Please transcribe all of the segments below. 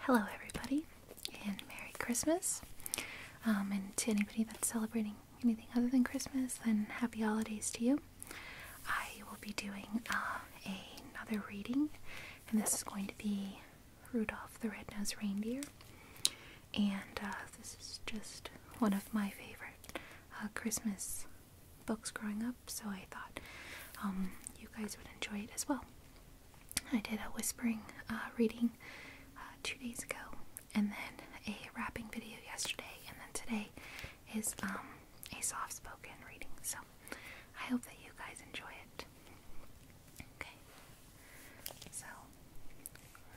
Hello, everybody, and Merry Christmas. Um, and to anybody that's celebrating anything other than Christmas, then happy holidays to you. I will be doing uh, another reading, and this is going to be Rudolph the Red-Nosed Reindeer. And uh, this is just one of my favorite uh, Christmas books growing up, so I thought um, you guys would enjoy it as well. I did a whispering uh, reading uh, two days ago, and then a wrapping video yesterday, and then today is um, a soft spoken reading. So I hope that you guys enjoy it. Okay, so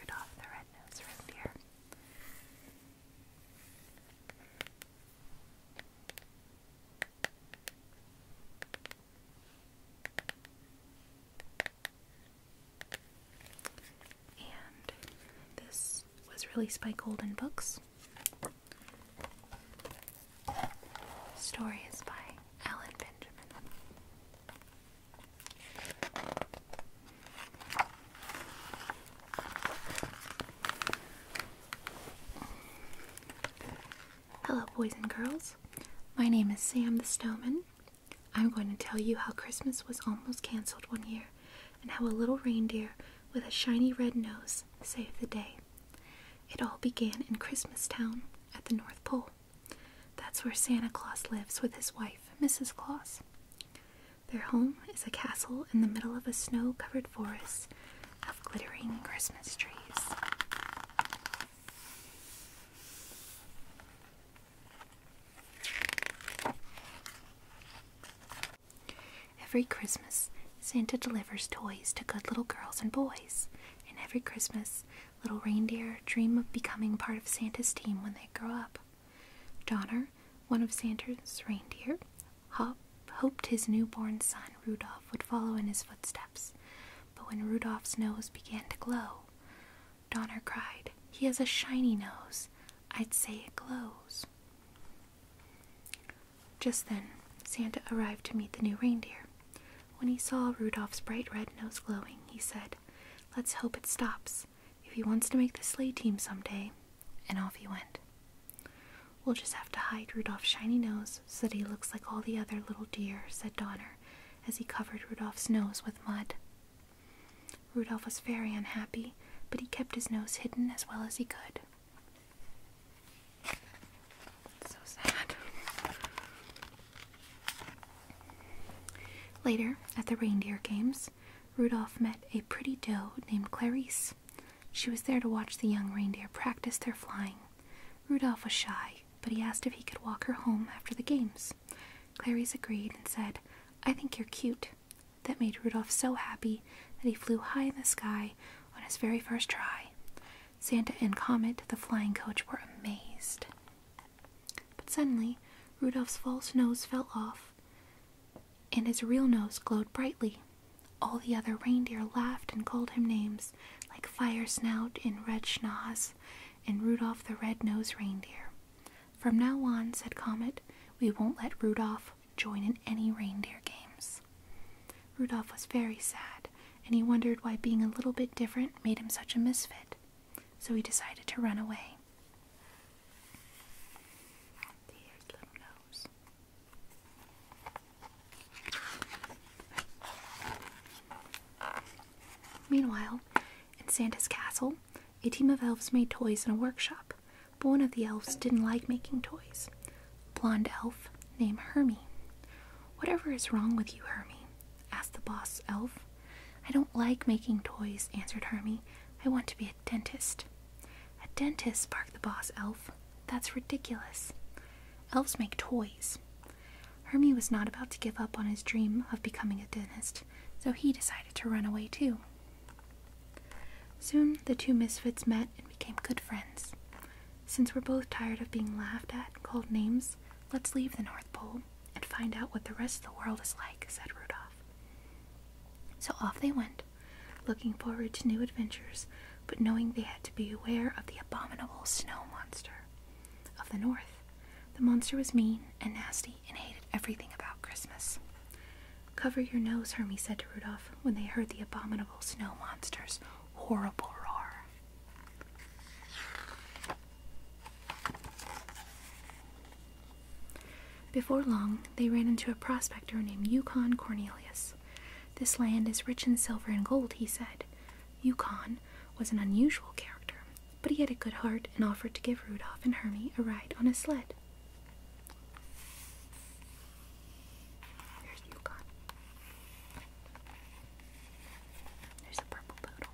Rudolph the Red-Nosed Reindeer. And this was released by Golden Books. Story is by Alan Benjamin. Hello, boys and girls. My name is Sam the Snowman. I'm going to tell you how Christmas was almost canceled one year and how a little reindeer with a shiny red nose saved the day. It all began in Christmastown at the North Pole. That's where Santa Claus lives with his wife, Mrs. Claus. Their home is a castle in the middle of a snow covered forest of glittering Christmas trees. Every Christmas, Santa delivers toys to good little girls and boys, and every Christmas, little reindeer dream of becoming part of Santa's team when they grow up. Donner, one of Santa's reindeer, Hop, hoped his newborn son Rudolph would follow in his footsteps. But when Rudolph's nose began to glow, Donner cried, He has a shiny nose. I'd say it glows. Just then, Santa arrived to meet the new reindeer. When he saw Rudolph's bright red nose glowing, he said, Let's hope it stops. If he wants to make the sleigh team someday. And off he went. We'll just have to hide Rudolph's shiny nose so that he looks like all the other little deer, said Donner, as he covered Rudolph's nose with mud. Rudolph was very unhappy, but he kept his nose hidden as well as he could. Later, at the reindeer games, Rudolph met a pretty doe named Clarice. She was there to watch the young reindeer practice their flying. Rudolph was shy, but he asked if he could walk her home after the games. Clarice agreed and said, I think you're cute. That made Rudolph so happy that he flew high in the sky on his very first try. Santa and Comet, the flying coach, were amazed. But suddenly, Rudolph's false nose fell off, and his real nose glowed brightly. All the other reindeer laughed and called him names like Fire Snout and Red Schnoz and Rudolph the Red-Nosed Reindeer. From now on, said Comet, we won't let Rudolph join in any reindeer games. Rudolph was very sad, and he wondered why being a little bit different made him such a misfit. So he decided to run away. Meanwhile, in Santa's castle, a team of elves made toys in a workshop, but one of the elves didn't like making toys. A blonde elf named Hermie. Whatever is wrong with you, Hermie? asked the boss elf. I don't like making toys, answered Hermie. I want to be a dentist. A dentist, barked the boss elf. That's ridiculous. Elves make toys. Hermie was not about to give up on his dream of becoming a dentist, so he decided to run away too. Soon the two misfits met and became good friends. Since we're both tired of being laughed at and called names, let's leave the North Pole and find out what the rest of the world is like, said Rudolph. So off they went, looking forward to new adventures but knowing they had to be aware of the abominable snow monster of the north. The monster was mean and nasty and hated everything about Christmas. Cover your nose, Hermie said to Rudolph when they heard the abominable snow monster's horrible roar. Before long, they ran into a prospector named Yukon Cornelius. This land is rich in silver and gold, he said. Yukon was an unusual character, but he had a good heart and offered to give Rudolph and Hermie a ride on his sled. There's Yukon. There's a purple poodle.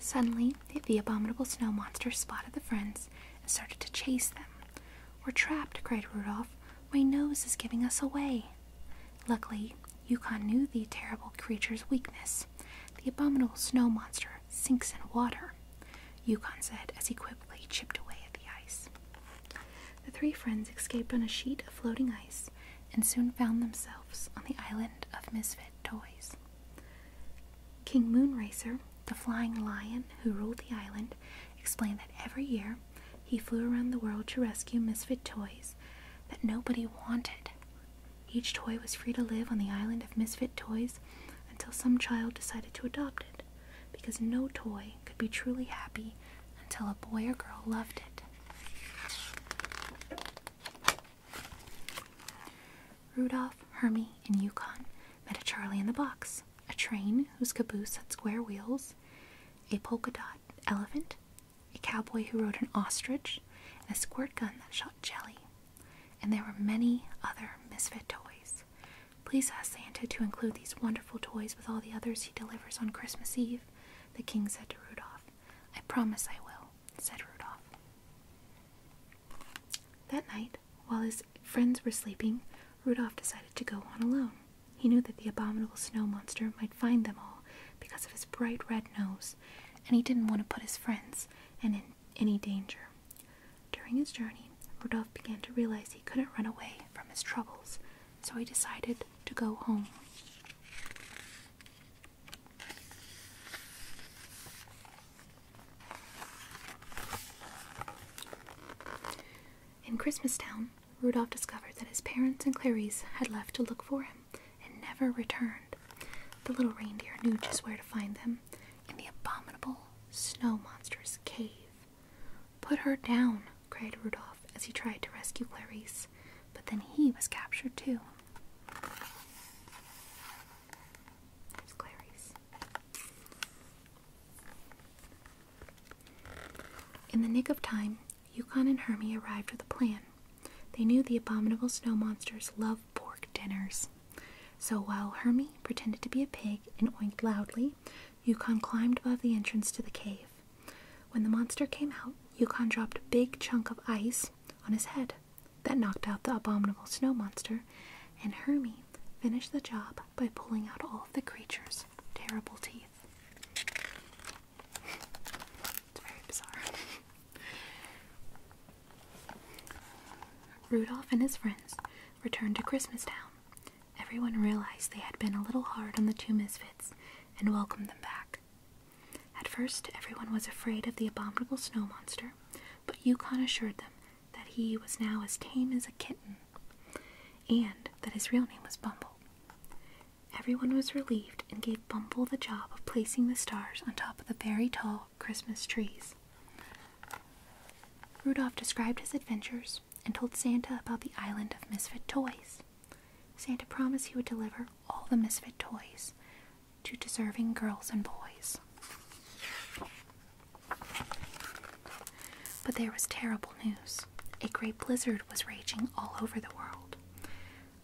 Suddenly, the abominable snow monster spotted the friends and started to chase them. We're trapped, cried Rudolph. My nose is giving us away. Luckily, Yukon knew the terrible creature's weakness. The abominable snow monster sinks in water, Yukon said as he quickly chipped away at the ice. The three friends escaped on a sheet of floating ice and soon found themselves on the island of misfit toys. King Moonracer, the flying lion who ruled the island, explained that every year he flew around the world to rescue misfit toys that nobody wanted. Each toy was free to live on the island of misfit toys until some child decided to adopt it, because no toy could be truly happy until a boy or girl loved it. Rudolph, Hermie, and Yukon met a Charlie in the box, a train whose caboose had square wheels, a polka dot elephant, a cowboy who rode an ostrich, and a squirt gun that shot jelly. And there were many other misfit toys. Please ask Santa to include these wonderful toys with all the others he delivers on Christmas Eve, the king said to Rudolph. I promise I will, said Rudolph. That night, while his friends were sleeping, Rudolph decided to go on alone. He knew that the abominable snow monster might find them all because of his bright red nose, and he didn't want to put his friends in any danger. During his journey, Rudolph began to realize he couldn't run away from his troubles, so he decided to go home. In Christmas Town, Rudolph discovered that his parents and Clarice had left to look for him and never returned. The little reindeer knew just where to find them in the abominable snow monster's cave. Put her down, cried Rudolph as he tried to rescue Clarice, but then he was captured too. In the nick of time, Yukon and Hermie arrived with a plan. They knew the abominable snow monsters love pork dinners. So while Hermie pretended to be a pig and oinked loudly, Yukon climbed above the entrance to the cave. When the monster came out, Yukon dropped a big chunk of ice on his head that knocked out the abominable snow monster, and Hermie finished the job by pulling out all of the creature's terrible teeth. It's very bizarre. Rudolph and his friends returned to Christmas Town. Everyone realized they had been a little hard on the two misfits and welcomed them back. At first, everyone was afraid of the abominable snow monster, but Yukon assured them that he was now as tame as a kitten, and that his real name was Bumble. Everyone was relieved and gave Bumble the job of placing the stars on top of the very tall Christmas trees. Rudolph described his adventures and told Santa about the island of misfit toys. Santa promised he would deliver all the misfit toys to deserving girls and boys. But there was terrible news. A great blizzard was raging all over the world.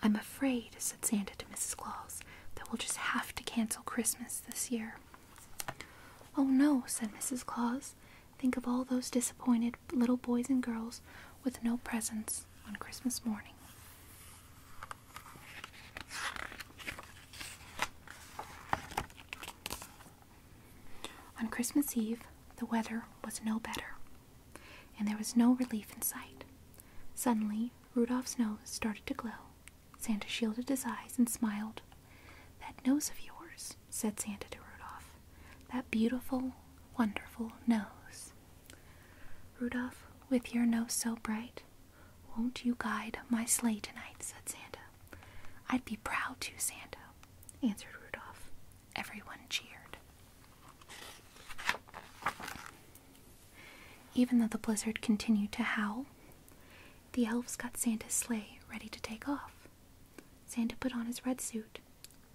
I'm afraid, said Santa to Mrs. Claus, that we'll just have to cancel Christmas this year. Oh no, said Mrs. Claus. Think of all those disappointed little boys and girls with no presents on Christmas morning. On Christmas Eve, the weather was no better, and there was no relief in sight. Suddenly, Rudolph's nose started to glow. Santa shielded his eyes and smiled. That nose of yours, said Santa to Rudolph. That beautiful, wonderful nose. Rudolph, with your nose so bright, won't you guide my sleigh tonight? said Santa. I'd be proud to, Santa, answered Rudolph. Everyone cheered. Even though the blizzard continued to howl, the elves got Santa's sleigh ready to take off. Santa put on his red suit.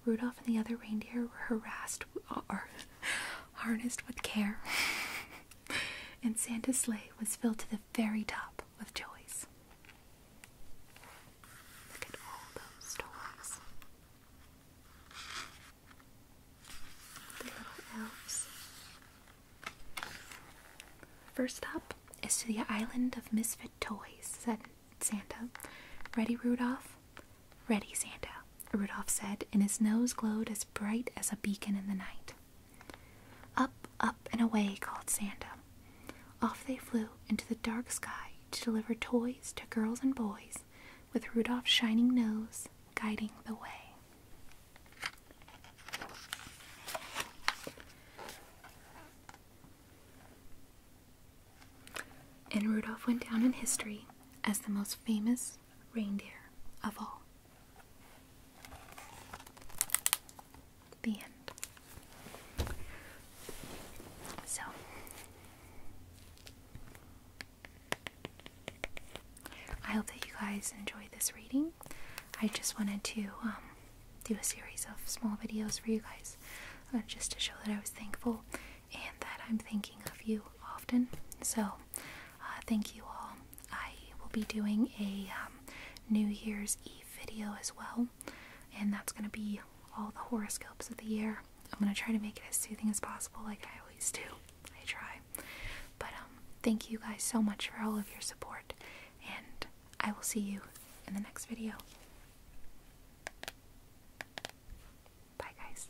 Rudolph and the other reindeer were harassed or harnessed with care. and Santa's sleigh was filled to the very top with toys. Look at all those toys. The little elves. First up is to the island of misfit toys, said Santa. Ready, Rudolph? Ready, Santa, Rudolph said, and his nose glowed as bright as a beacon in the night. Up, up, and away called Santa. Off they flew into the dark sky to deliver toys to girls and boys, with Rudolph's shining nose guiding the way. And Rudolph went down in history as the most famous reindeer of all. The end. So, I hope that you guys enjoyed this reading. I just wanted to um, do a series of small videos for you guys uh, just to show that I was thankful and that I'm thinking of you often. So, uh, thank you all. I will be doing a um, New Year's Eve video as well, and that's going to be all the horoscopes of the year. I'm going to try to make it as soothing as possible, like I always do. I try. But um, thank you guys so much for all of your support, and I will see you in the next video. Bye, guys.